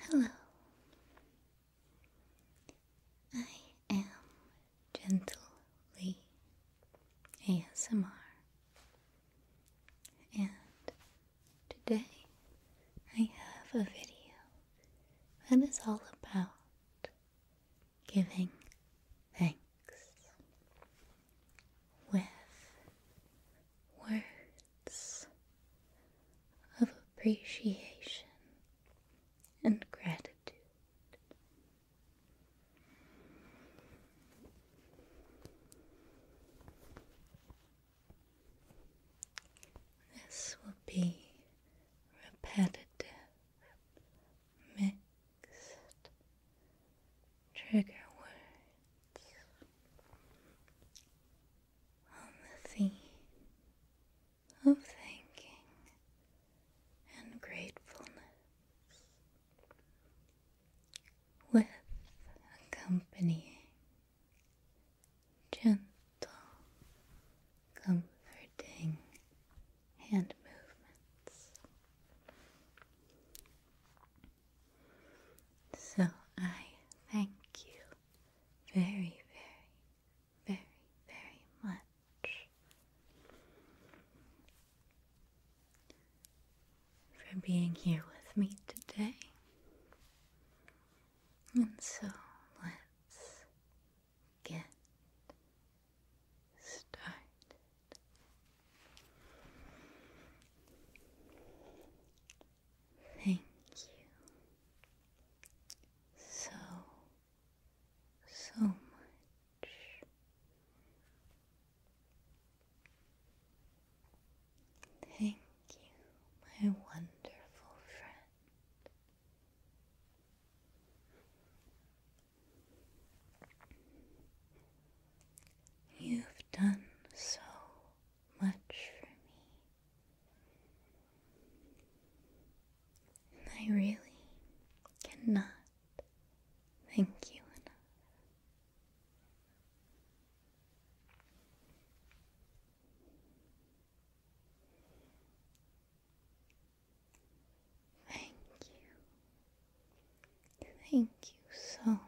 Hello. I am Gentle Lee ASMR, and today I have a video that is all about giving thanks with words of appreciation and gratitude. This will be repetitive, mixed trigger words on the theme of thanking and gratefulness with accompanying gentle, comforting hand movements. So I thank you very, very, very, very much for being here with me today. And so let's get started. Thank you so, so much. Thank you, my wonderful friend. You've done so much for me. I really cannot thank you enough. Thank you. Thank you so much.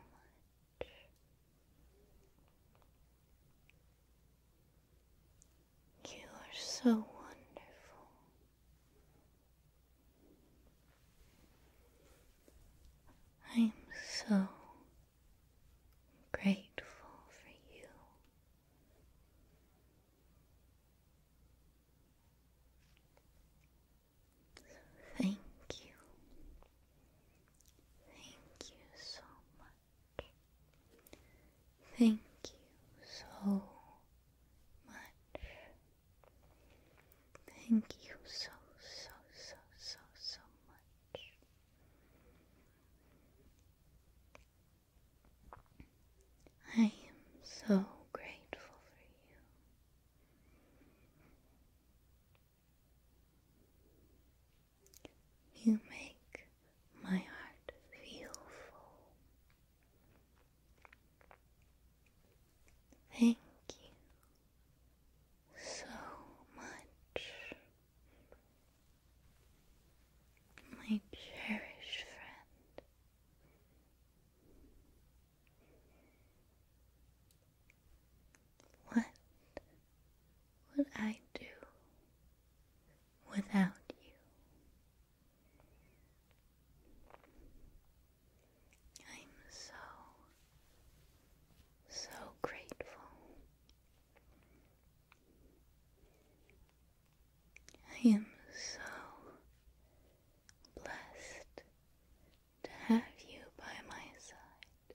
You are so wonderful. I am so grateful for you. Thank you. Thank you so much. Thank you so much. Thank you so, so, so, so, so much. I am so grateful for you. You make my heart feel full. Thank you so much, my cherished friend. What would I do without you? I'm so, so grateful. I am so blessed to have you by my side.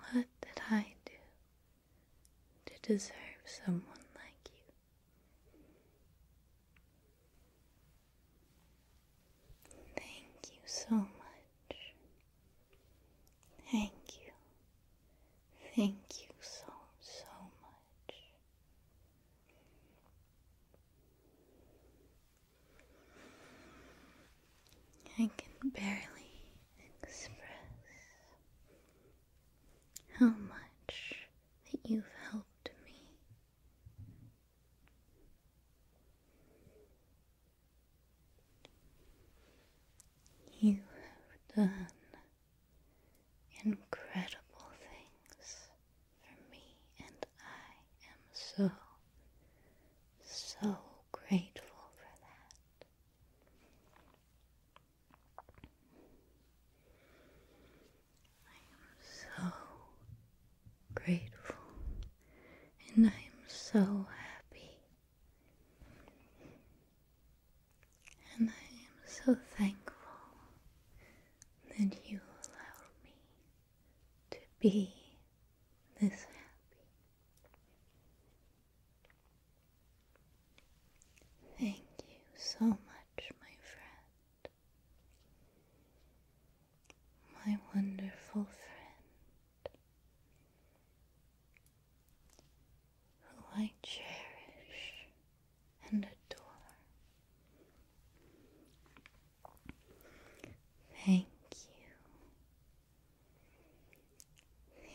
What did I do to deserve someone like you? Thank you so much Thank you. Thank you so, so much. I can barely express how much that you've helped me. You have done incredible things for me, and I am so, so grateful for that. I am so grateful and I'm so happy. And I am so thankful that you allowed me to be this happy. Thank you so much, my friend my wonderful friend, who I cherish and adore. Thank you.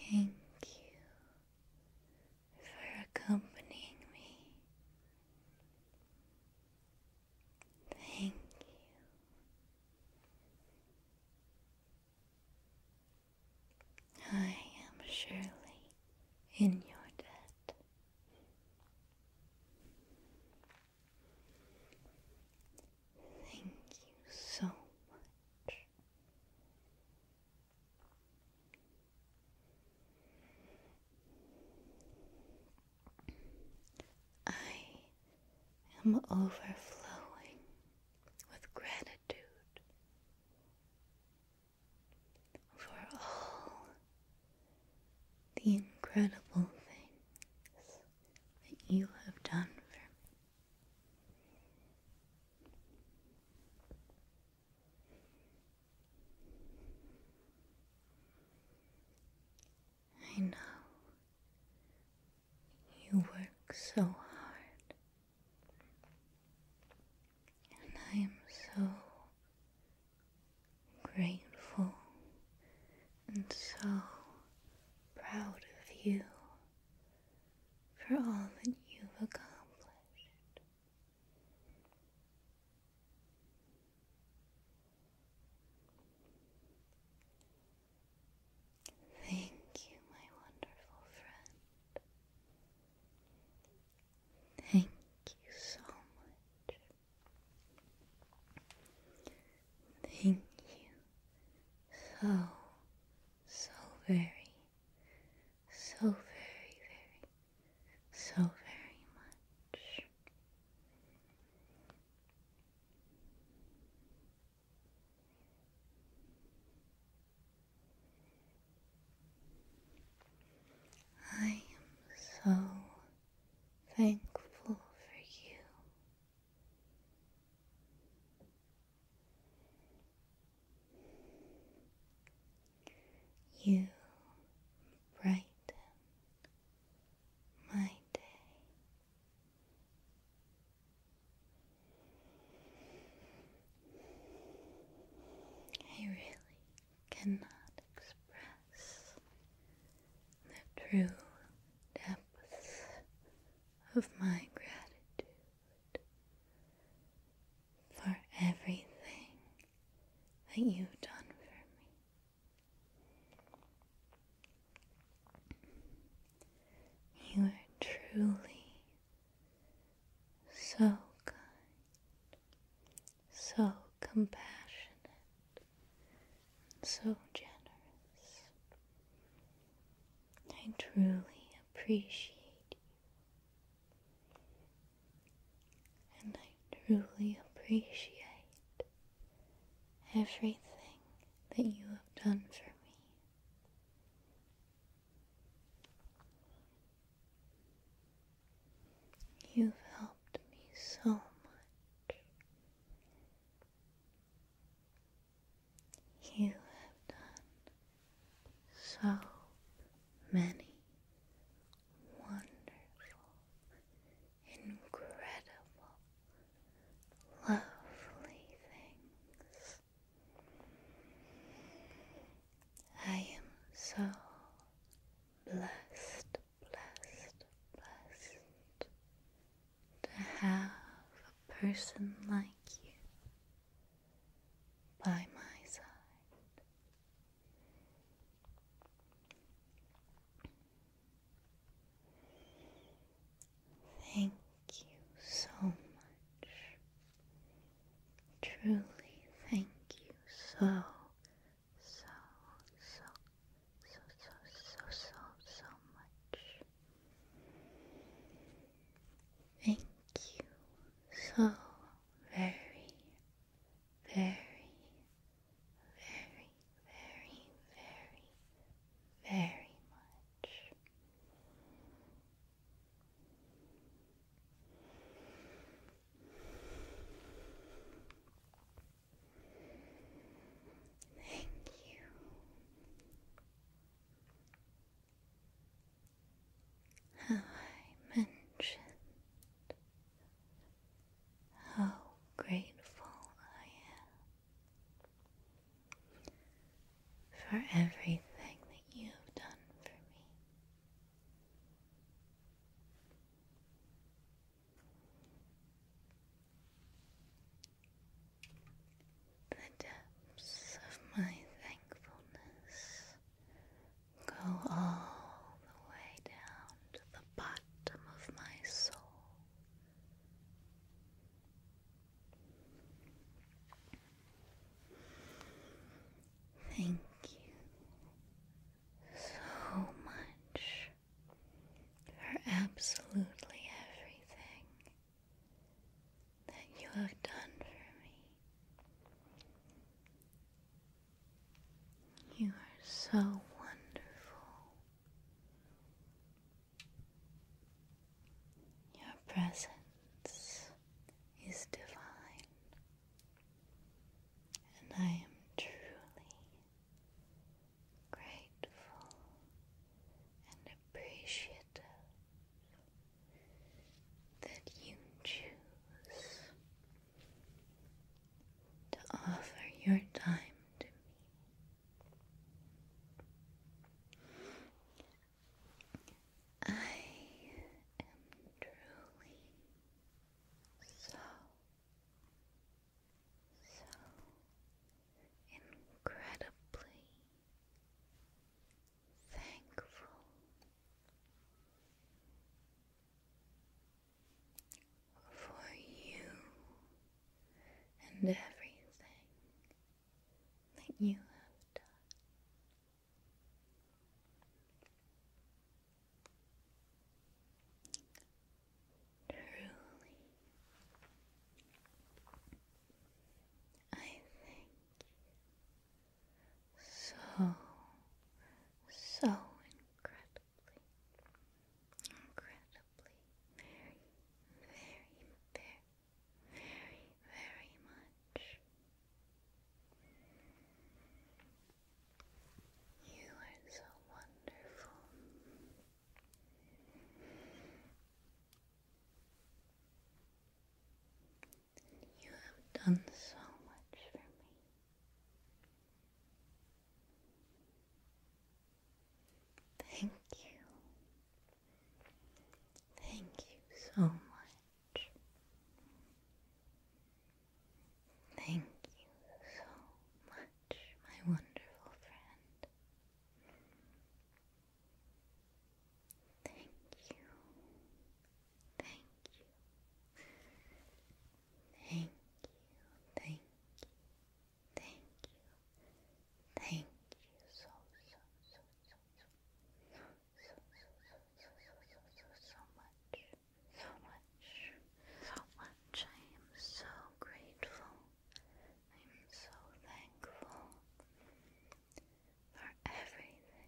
Thank you for accompanying me. Thank you I am surely in your debt. Thank you so much. I am overflowing with gratitude for all the incredible things that you have done for me. I know. You work so hard. And I am so grateful and so proud of you for all that you've accomplished. Thank you, my wonderful friend. Thank you so much. Thank you so, so very, so very, very, so very much. I am so thankful for you. You brighten my day. I really cannot express the true depths of my gratitude for everything that you've done for me. You are truly so kind, so compassionate, so generous. I truly appreciate you, and I truly appreciate everything that you have done for me. You've helped me so much. You have done so many wonderful, incredible, lovely things. I am so blessed, blessed, blessed to have a person like you by my side. Thank you so much. Truly, thank you so, so, so, so, so, so, so, so much. Thank you so very very, very, very, very, very much. Thank you. I mentioned how grateful I am for everything that you've done for me. The depths of my thankfulness Go all the way down to the bottom of my soul. Thank you so much for absolutely everything that you have done for me. You are so wonderful. Your presence is divine, and I am truly grateful and appreciative that you choose to offer your time to me. I am truly so, so incredibly thankful for you and everything that you have done. Truly, I thank you so, so incredibly, incredibly, very, very, very, very, very much. You are so wonderful. You have done so much for me. Thank you. Thank you so much. Thank you so much, my wonderful friend. Thank you. Thank you. Thank you. Thank you. Thank you. Thank you so so so so so so so so so so so much. So much. So much. I am so grateful. I am so thankful for everything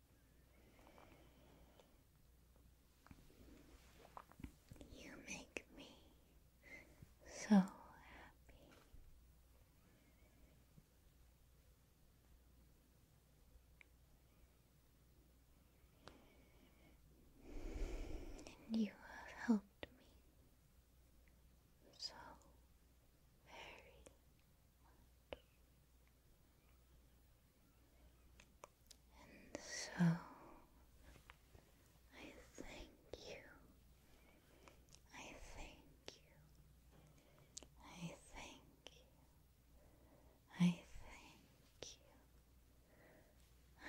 You make me so happy. And you have helped me so very much. And so I thank you. I thank you. I thank you. I thank you. I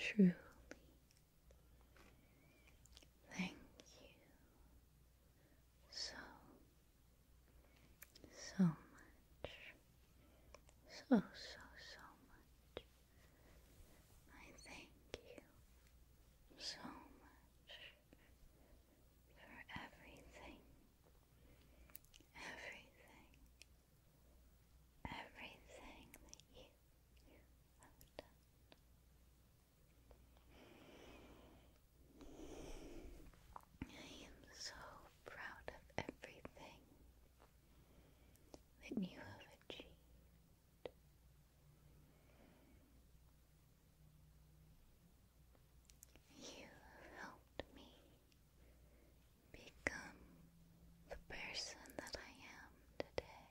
truly thank you so so much. So, so, so much. I thank you so much for everything. Everything. Everything that you, have done. I am so proud of everything that you have achieved. You have helped me become the person that I am today.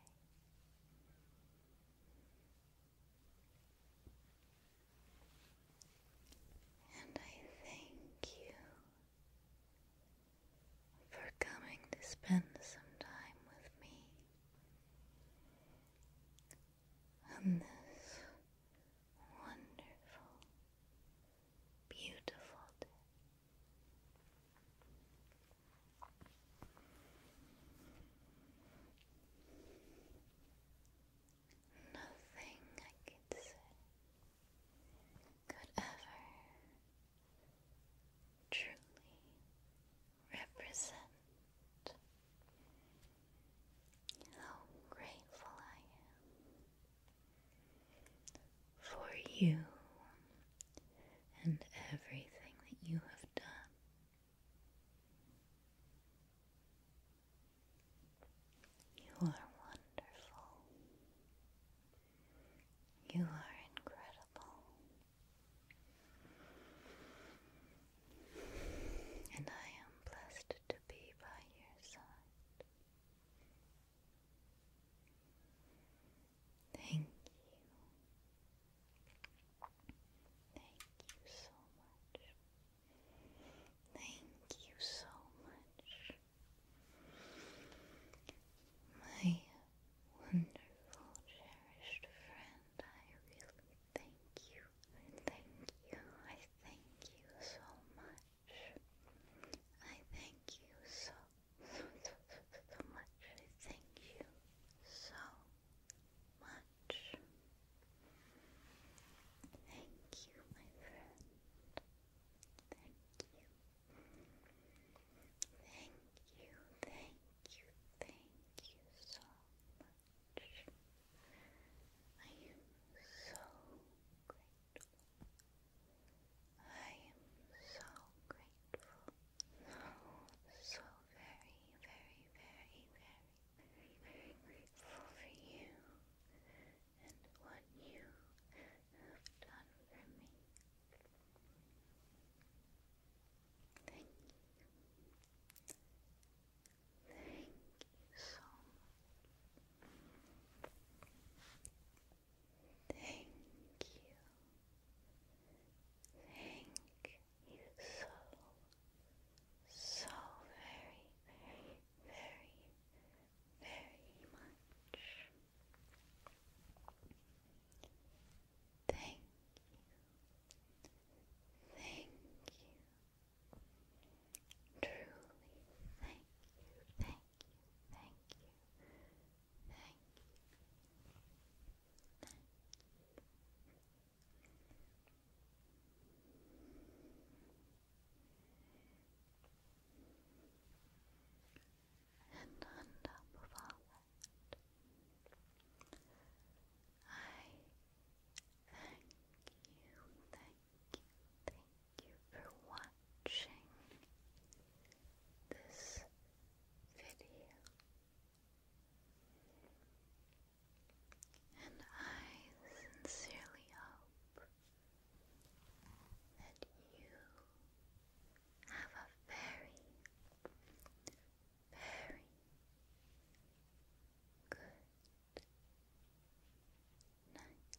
And I thank you for coming to spend some time with me on this wonderful, beautiful day nothing I could say could ever truly represent how grateful I am for you and everything that you have done you are wonderful. You are incredible. And I am blessed to be by your side. Thank you. Thank you so much. Thank you so much, my wonderful, cherished friend. I really thank you. thank you. I thank you so much. I thank you so, so, so, so much. I thank you so much. Thank you, my friend. Thank you. Thank you, thank you, thank you so much. I am so grateful. I am so grateful. So, very, very, very, very very, grateful for you and what you have done for me. Thank you. Thank you so much. Thank you. Thank you so, so very, very, very, much. Thank you. Thank you. Truly, thank you, thank you, thank you, thank you, and on top of all that, I thank you, thank you, thank you for watching this video. And I sincerely hope that you have a very, very good night.